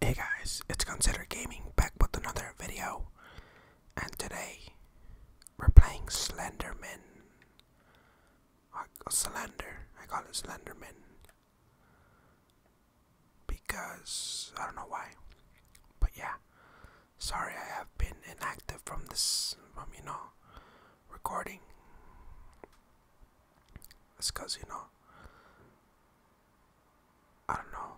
Hey guys, it's Consider Gaming back with another video, and today we're playing Slenderman. Slender, I call it Slenderman because I don't know why, but yeah. Sorry, I have been inactive from this, from you know, recording. It's cause you know, I don't know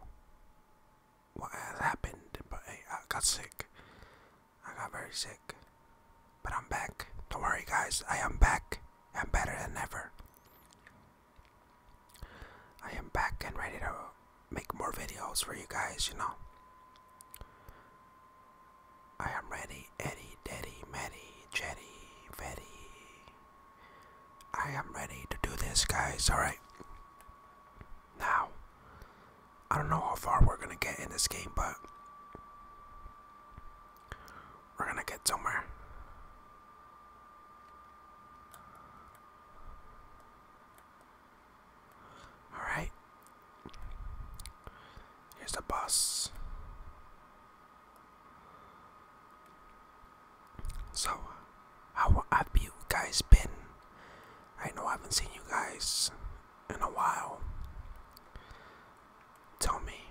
what has happened, but hey, I got sick. I got very sick, but I'm back. Don't worry, guys, I am back and better than ever. I am back and ready to make more videos for you guys, you know. I am ready, Eddie, Daddy, Maddie, Jetty, Fetty. I am ready to do this, guys, alright? Now, I don't know how far we're gonna get in this game, but we're gonna get somewhere. Alright. Here's the boss. So, how have you guys been? I know I haven't seen you guys in a while. Tell me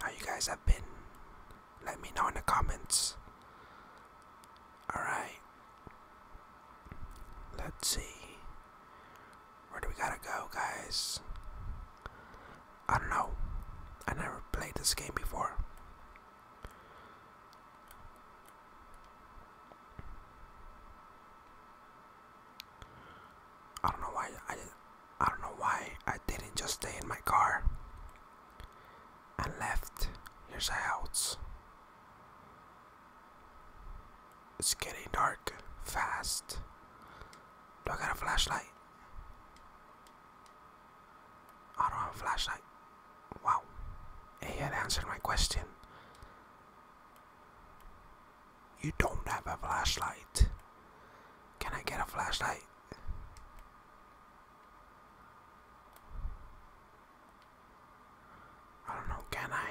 how you guys have been. Let me know in the comments. Alright. Let's see. Where do we gotta go, guys? I don't know. I never played this game before. I don't know why I did, I don't know why I didn't just stay in my car and left. Here's a house. It's getting dark fast. Do I got a flashlight? I don't have a flashlight. Wow. Hey, it answered my question. You don't have a flashlight. Can I get a flashlight? I don't know, can I?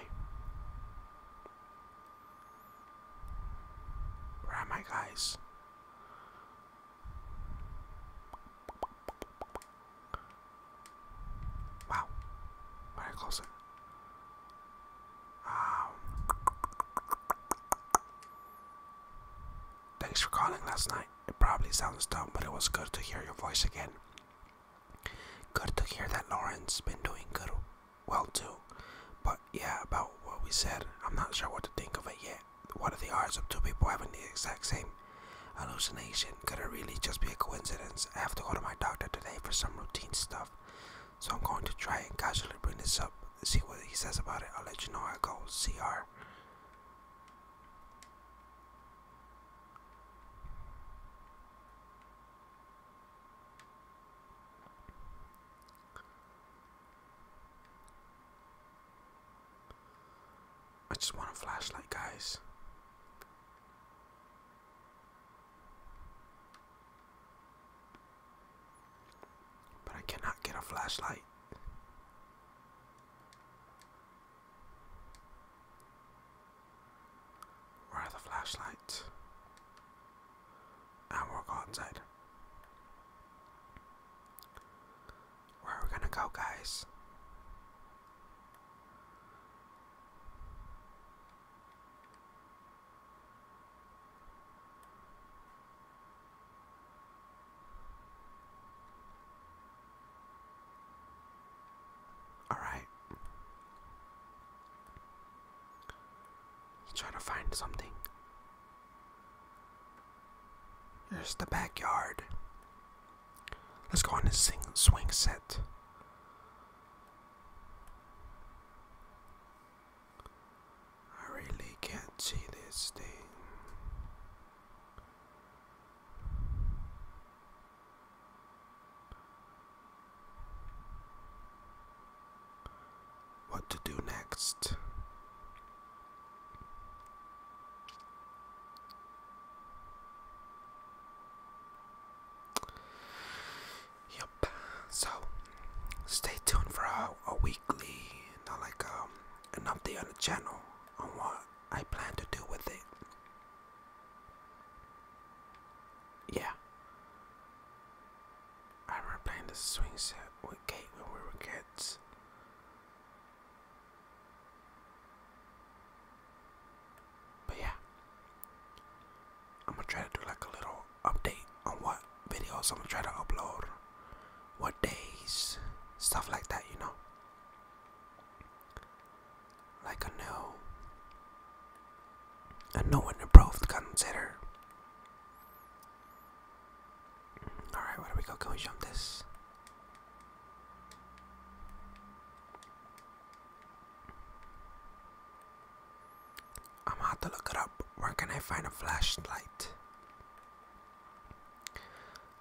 Where am I, guys? Wow, very close. Um, thanks for calling last night. It probably sounds dumb, but it was good to hear your voice again. Good to hear that Lauren's been doing good, well too. But yeah, about what we said, I'm not sure what to think of it yet. What are the odds of two people having the exact same hallucination? Could it really just be a coincidence? I have to go to my doctor today for some routine stuff, so I'm going to try and casually bring this up, see what he says about it. I'll let you know I go. CR. I just want a flashlight, guys. But I cannot get a flashlight. Where are the flashlights? And we'll go outside. Where are we gonna go, guys? All right. trying to find something? Here's the backyard. Let's go on the sing swing set. I really can't see this thing. What to do next? Yep. So, stay tuned for a, weekly, you like um, an update on the channel on what I plan to do with it. Yeah. I remember playing the swing set with Kate when we were kids. But yeah, I'm gonna try to do like a little update on what videos I'm gonna try to upload, what days, stuff like that, you know. Like a new, a new and improved consider. Alright, where we go? Can we jump this? I'm gonna have to look it up. Where can I find a flashlight?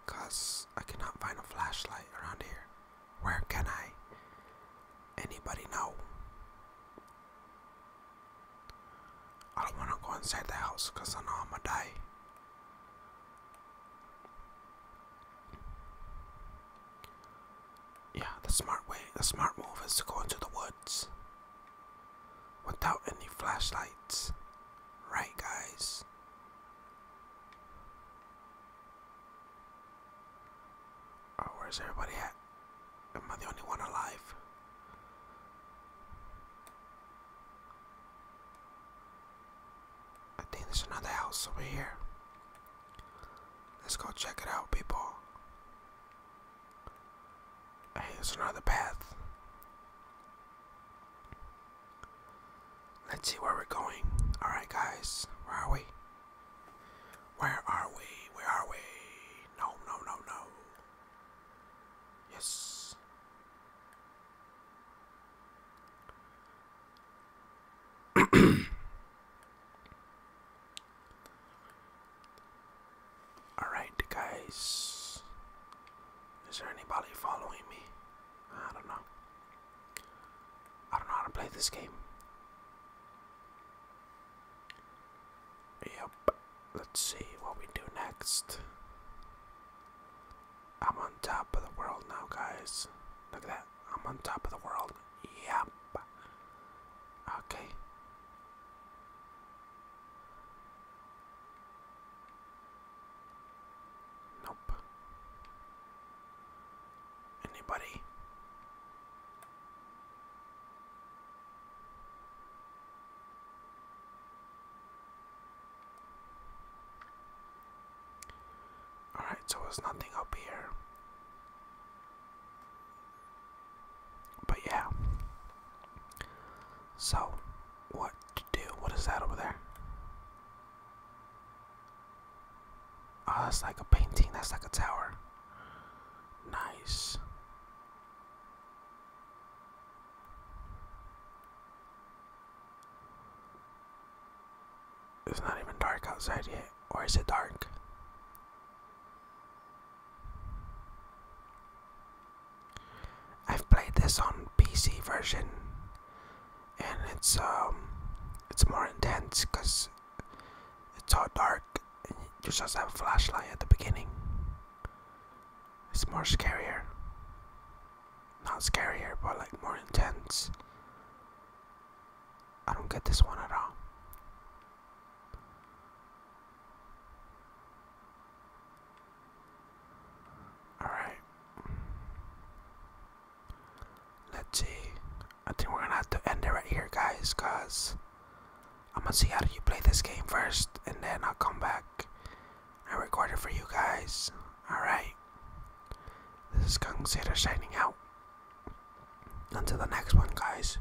Cause I cannot find a flashlight around here. Where can I? Anybody know? I don't wanna go inside the house cause I know I'm gonna die. Yeah, the smart way, the smart move is to go into the woods without any flashlights. Right, guys? Oh, where's everybody at? Am I the only one alive? I think there's another house over here. Let's go check it out, people. Hey, there's another path. Let's see where we're going. Alright, guys. Where are we? Where are we? Where are we? No, no, no, no. Yes. Alright, guys. Is there anybody following me? I don't know. I don't know how to play this game. Yep. Let's see what we do next. I'm on top of the world now, guys. Look at that. I'm on top of the world. Yep. Okay. Nope. Anybody? Alright, so there's nothing up here. But yeah. So, what to do? What is that over there? Oh, that's like a painting. That's like a tower. Nice. It's not even dark outside yet. Or is it dark? I've played this on PC version and it's um it's more intense because it's all dark and you just have a flashlight at the beginning. It's more scarier. Not scarier but like more intense. I don't get this one at all. Alright. Let's see. I think we're gonna have to end it right here, guys, because I'm gonna see how you play this game first, and then I'll come back and record it for you guys. Alright. This is Consider signing out. Until the next one, guys.